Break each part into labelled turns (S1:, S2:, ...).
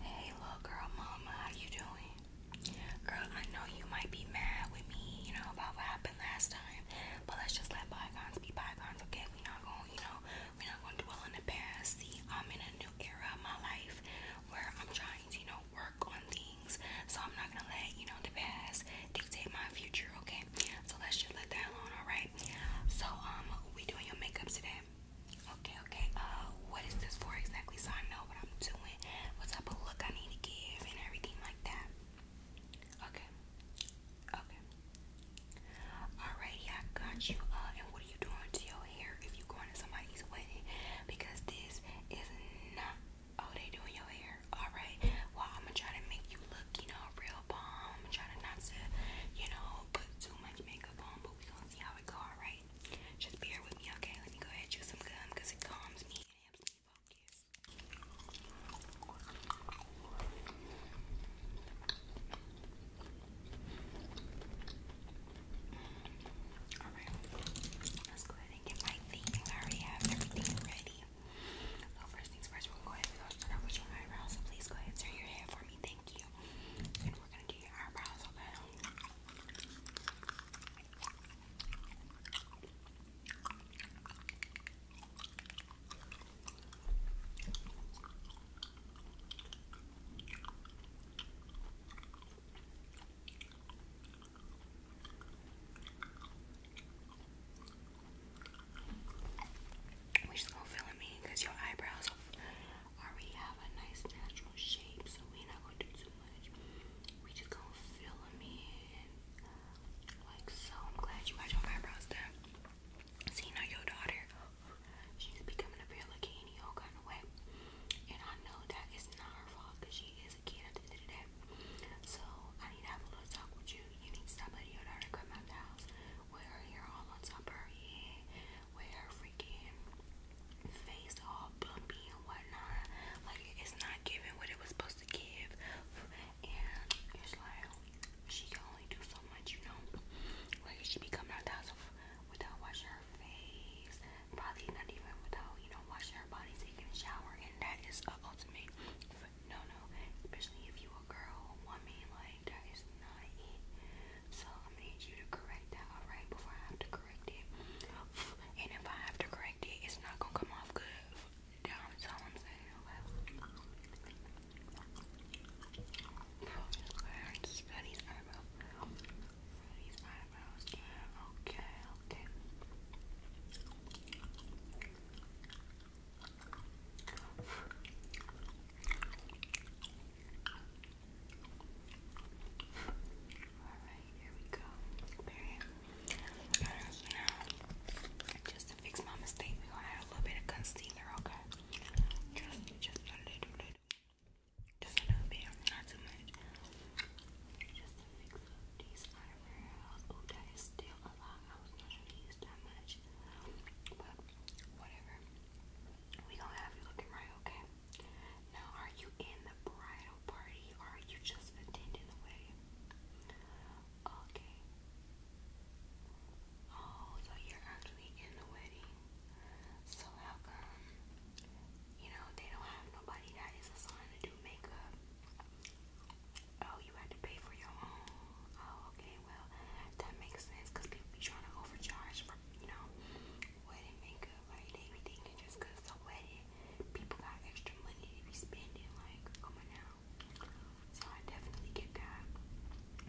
S1: Hey little girl mama, how you doing? Girl, I know you might be mad with me, you know, about what happened last time. But let's just let bygones be bygones, okay? We're not gonna, you know, we're not gonna dwell in the past. See, I'm in a new era of my life where I'm trying to, you know, work on things. So I'm not gonna let, you know, the past dictate my future, okay? So let's just let that alone, alright? So um we doing your makeup today. Okay, okay. Uh, what is this for exactly? So I know what I'm doing, what type of look I need to give, and everything like that. Okay, okay. Alrighty, I got you. Uh, and what are you doing to your hair if you're going to somebody's wedding? Because this is not all oh, they do your hair. Alright, well, I'm gonna try to make you look, you know, real bomb. trying to not to, you know, put too much makeup on, but we gonna see how it go, alright? Just be with me, okay? Let me go ahead chew some gum because it calms me and helps me focus. Mm-hmm. Alright, let's go ahead and get my thing. I already have everything ready. So first things first, we'll go ahead and go start with your eyebrows. So please go ahead turn your head for me. Thank you we're gonna do your eyebrows, okay? we just going fill in me because your eyebrows already have a nice natural shape, so we're not gonna do too much. We just gonna fill them in like so. I'm glad you got your eyebrows done. See now your daughter, she's becoming a real looking all kind of way. And I know that it's not her fault because she is a kid at the end of the day. So I need to have a little talk with you. You need to stop letting your daughter come out the house where you're all on top of her head, where freaking face all bumpy and whatnot. Like it's not giving what it was supposed to give. And it's like she can only do so much, you know. Like she become coming out without washing her face. Probably not even without, you know, washing her body, taking a shower, and that is ultimate no no. Especially if you a girl, woman, like that is not it. So i need you to correct that, alright, before I have to correct it. And if I have to correct it, it's not gonna come off good. That's all I'm saying, Okay, Alright, here we go. Period. Now, just to fix my mistake, we gonna add a little bit of concealer, okay? Just, just a little, little. Just a little bit, not too much. Just to fix these eyebrows. Oh, that is still a lot. I was not gonna use that much. But, whatever we gonna have you looking right, okay? Now, are you in the bridal party or are you just attending the wedding? Okay. Oh, so you're actually in the wedding. So how come, you know, they don't have nobody that is assigned to do makeup? Oh, you had to pay for your own. Oh, okay well, that makes sense because people be trying to overcharge for, you know, wedding makeup. Like, they be thinking just because the wedding, people got extra money to be spending. Like, come oh on now. So, I definitely get that.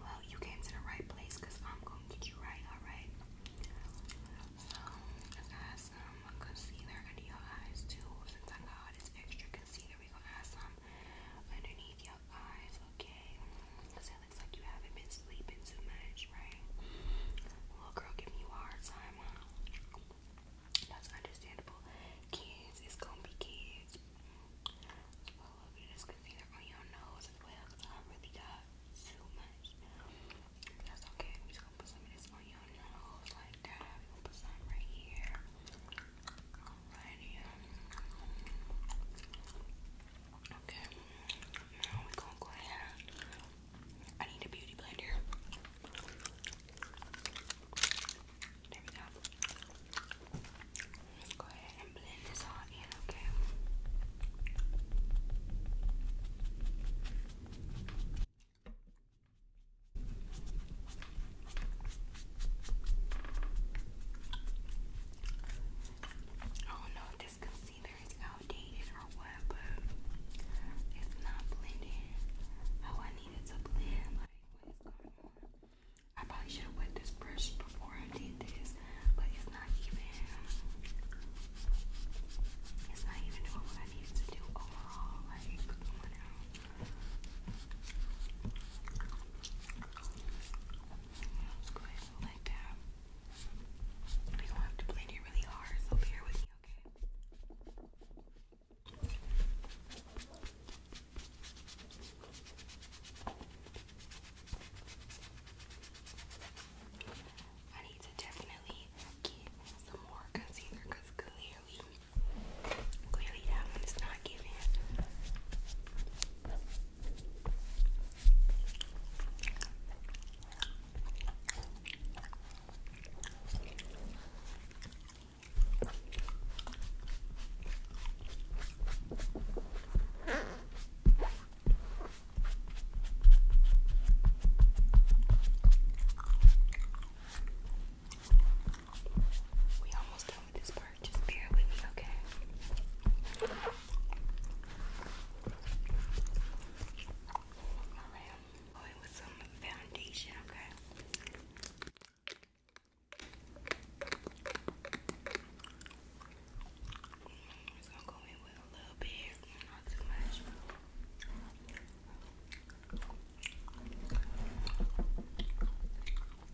S1: Well, you came to the right place because I'm going to get you right, alright? So, I got some concealer under your eyes too. Since I got all this extra concealer, we're going to add some underneath your eyes, okay? Because it it's like you haven't been sleeping too much, right? Little girl giving you a hard time, That's understandable. Kids, it's gonna be kids. Let's put a little bit of this concealer on your nose as well, I really got too much. That's okay. I'm just gonna put some of this on your nose like that. We're put some right here. Alrighty. Um. Okay, now we're gonna go ahead. I need a beauty blender. There we go. go ahead and blend this all in, okay? I don't know if this concealer is outdated or what, but it's not blending how oh, I need to blend. Like, what is going on? I probably should have wet this brush before I did this, but it's not even. It's not even doing what I needed to do overall. Like, come on Let's go ahead and like that. We're going have to blend it really hard, so bear with me, okay? I need to definitely get some more concealer because clearly, clearly that one is not giving. We almost have Oh, this part. Just bear with me, okay? going oh, with some foundation, okay? just going with a little bit, not too much. Okay. Oh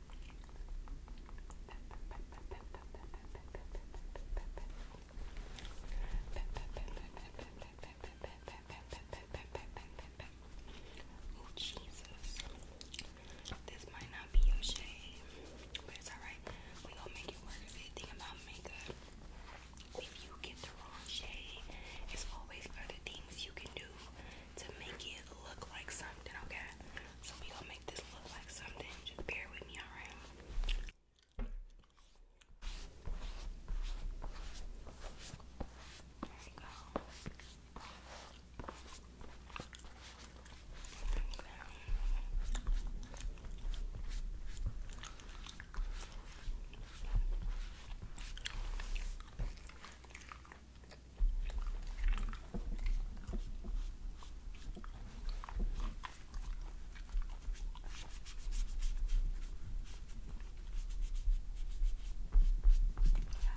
S1: Jesus. This might not be your shade, but it's alright. We gonna make it work. The about makeup, if you get the wrong shade, it's always other things you can do to make it look like something, okay? So we gonna make this look like something. Just bear with me, alright? There we go. I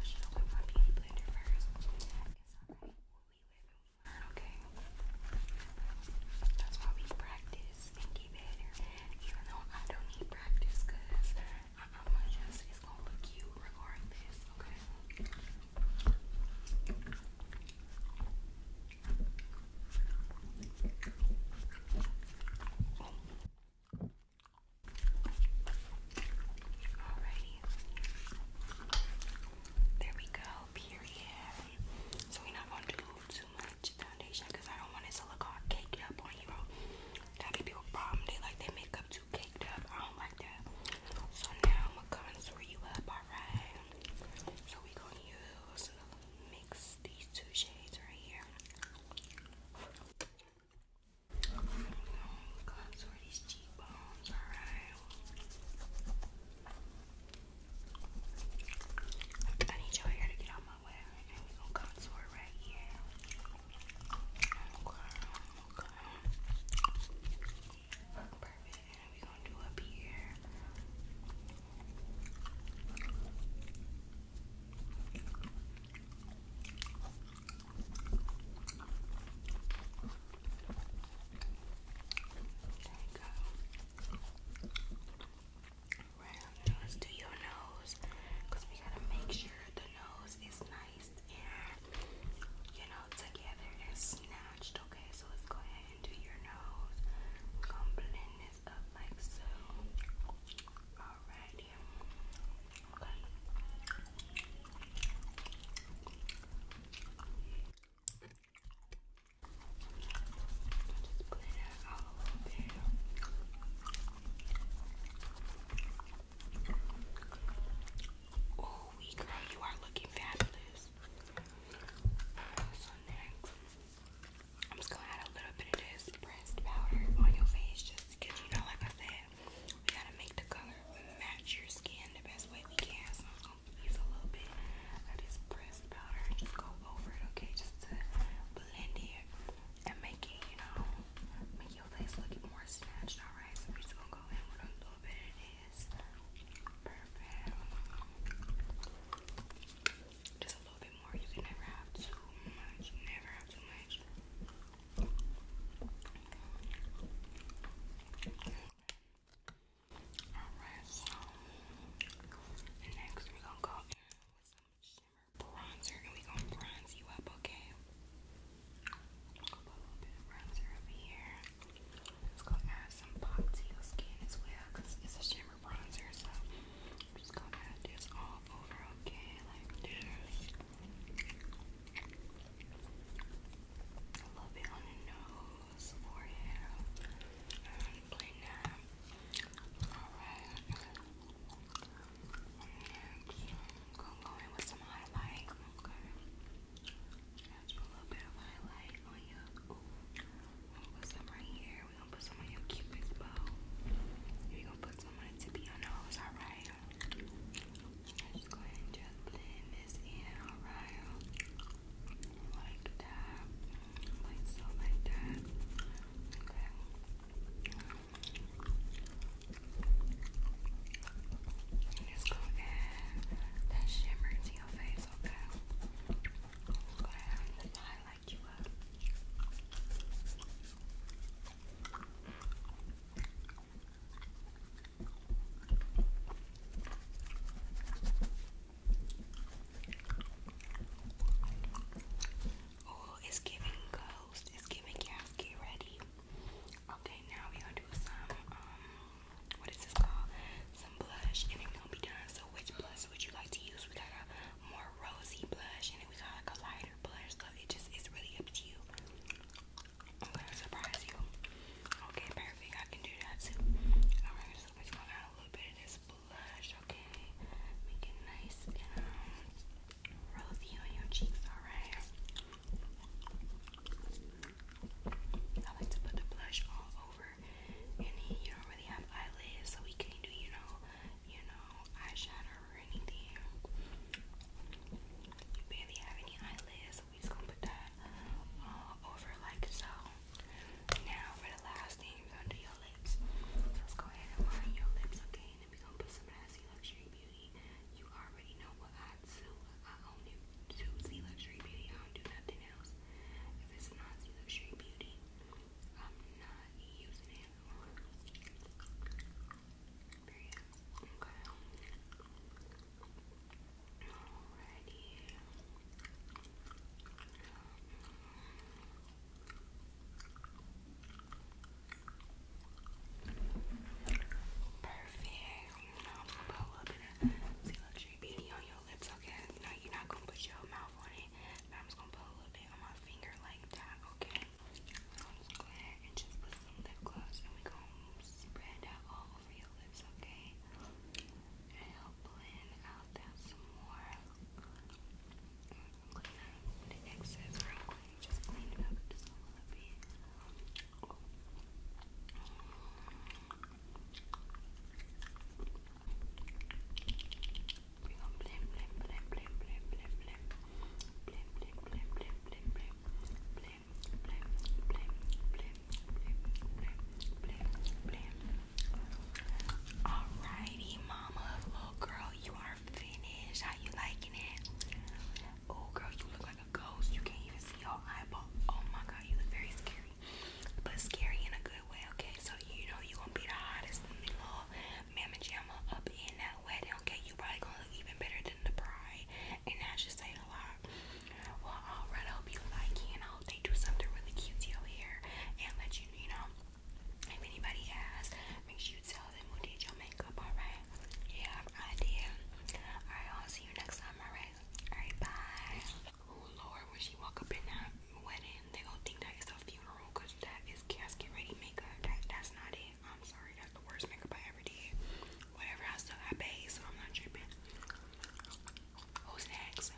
S1: should have my beauty blender first. It's alright. We live and we learn, okay? That's why we practice and get better. Even though I don't need practice because I am gonna Alrighty. There we go, period. So we're not gonna do too much foundation because I don't want it to look all caked up on you. That'd be a problem. They like they make too caked up. I don't like that. So now I'm gonna come you up, alright? So we gonna use mix these two shades right here. i to need your hair to get out my way, and we gonna contour right here okay. Perfect. And we gonna do up here. There we go. Right, now let your nose we gotta make sure the nose is not you know together and snatched. Okay, so let's go ahead and do your nose. gonna blend this up like so. Alrighty. Okay. Oh, we girl, you are looking fabulous. So next, I'm just gonna add a little bit of this pressed powder on your face, just you know, like I said, we gotta make the color match your skin the best way we can. So I'm gonna use a little bit of this pressed powder and just go over it, okay, just to blend it and make it, you know, make your face look more snatched, alright? So we're just gonna go in with a little bit of this. Perfect. Just a little bit more. You can never have too much. Never have too much. Alright, so next we're gonna go in with some shimmer bronzer and we gonna bronze you up, okay? a little bit of bronzer over here. It's gonna add some pop to your skin as well, it's a shimmer bronzer, so I'm just gonna add this all over, okay? Like this. A on the nose, forehead. I'm now. I'm going with some highlight. Okay. Just put a little bit of highlight on your. We're gonna put some right here. We're gonna put some on your cupid's bow. we gonna put some on the tip of alright? Just go ahead just blend this in, alright? Like that. Like so, like that. Okay. Let's go add that shimmer to your face, okay? Go ahead and highlight you up. Oh, it's giving go toast is giving gasket ready. Okay, now we gonna do some um what is this called? Some blush and then gonna be done. So which blush would you like to use? We got a more rosy blush and then we got like a lighter blush, so it just is really up to you. I'm gonna surprise you. Okay, perfect. I can do that too. Alright, so let's go add a little bit of this blush, okay? Make nice um, rosy on your cheeks, alright? I like to put the blush all over, and you don't really have eyelids, so we can't do, you know, you know, eyeshadow or anything. You barely have any eyelids, so we just gonna put that all uh, over like so. Now for the last thing, we're gonna do your lips. So go ahead and line your lips, okay? and become someone that has Z Luxury Beauty. You already know what I do. I only do Z Luxury Beauty. I don't do nothing else. If it's not Luxury Beauty, I'm not using it. Period. Okay. Alrighty. Perfect. Now I'm gonna put a little bit of See Luxury Beauty on your lips, okay? No, you're not gonna put your mouth on it. But I'm just gonna put a little bit on my finger like that, okay? So I'm just gonna go ahead and just put some lip gloss and we're gonna spread that all over your lips, okay? And help blend out that some more cleaner, Alrighty, mama, little girl, you are hair finish. How you liking it? Oh girl, you look like a ghost. You can't even see your eyeball. Oh my god, you look very scary. But scary in a good way, okay? So you know you gonna be the hottest little mamma jamma up in that wedding, okay? You probably gonna look even better than the bride. And that should say a lot. Well, alright, I hope you like it and I hope they do something really cute to your hair and let you, you know, if anybody asks, make sure you tell them who did your makeup, alright? Yeah, I did. Alright, I'll see you next time, alright? Alright, bye. Oh Lord, when she walk up in that wedding, they going think that it's a funeral because that is casket ready makeup. that's not it. I'm sorry, that's the worst makeup I ever did. Whatever, I still got paid, so I'm not tripping. Who's next?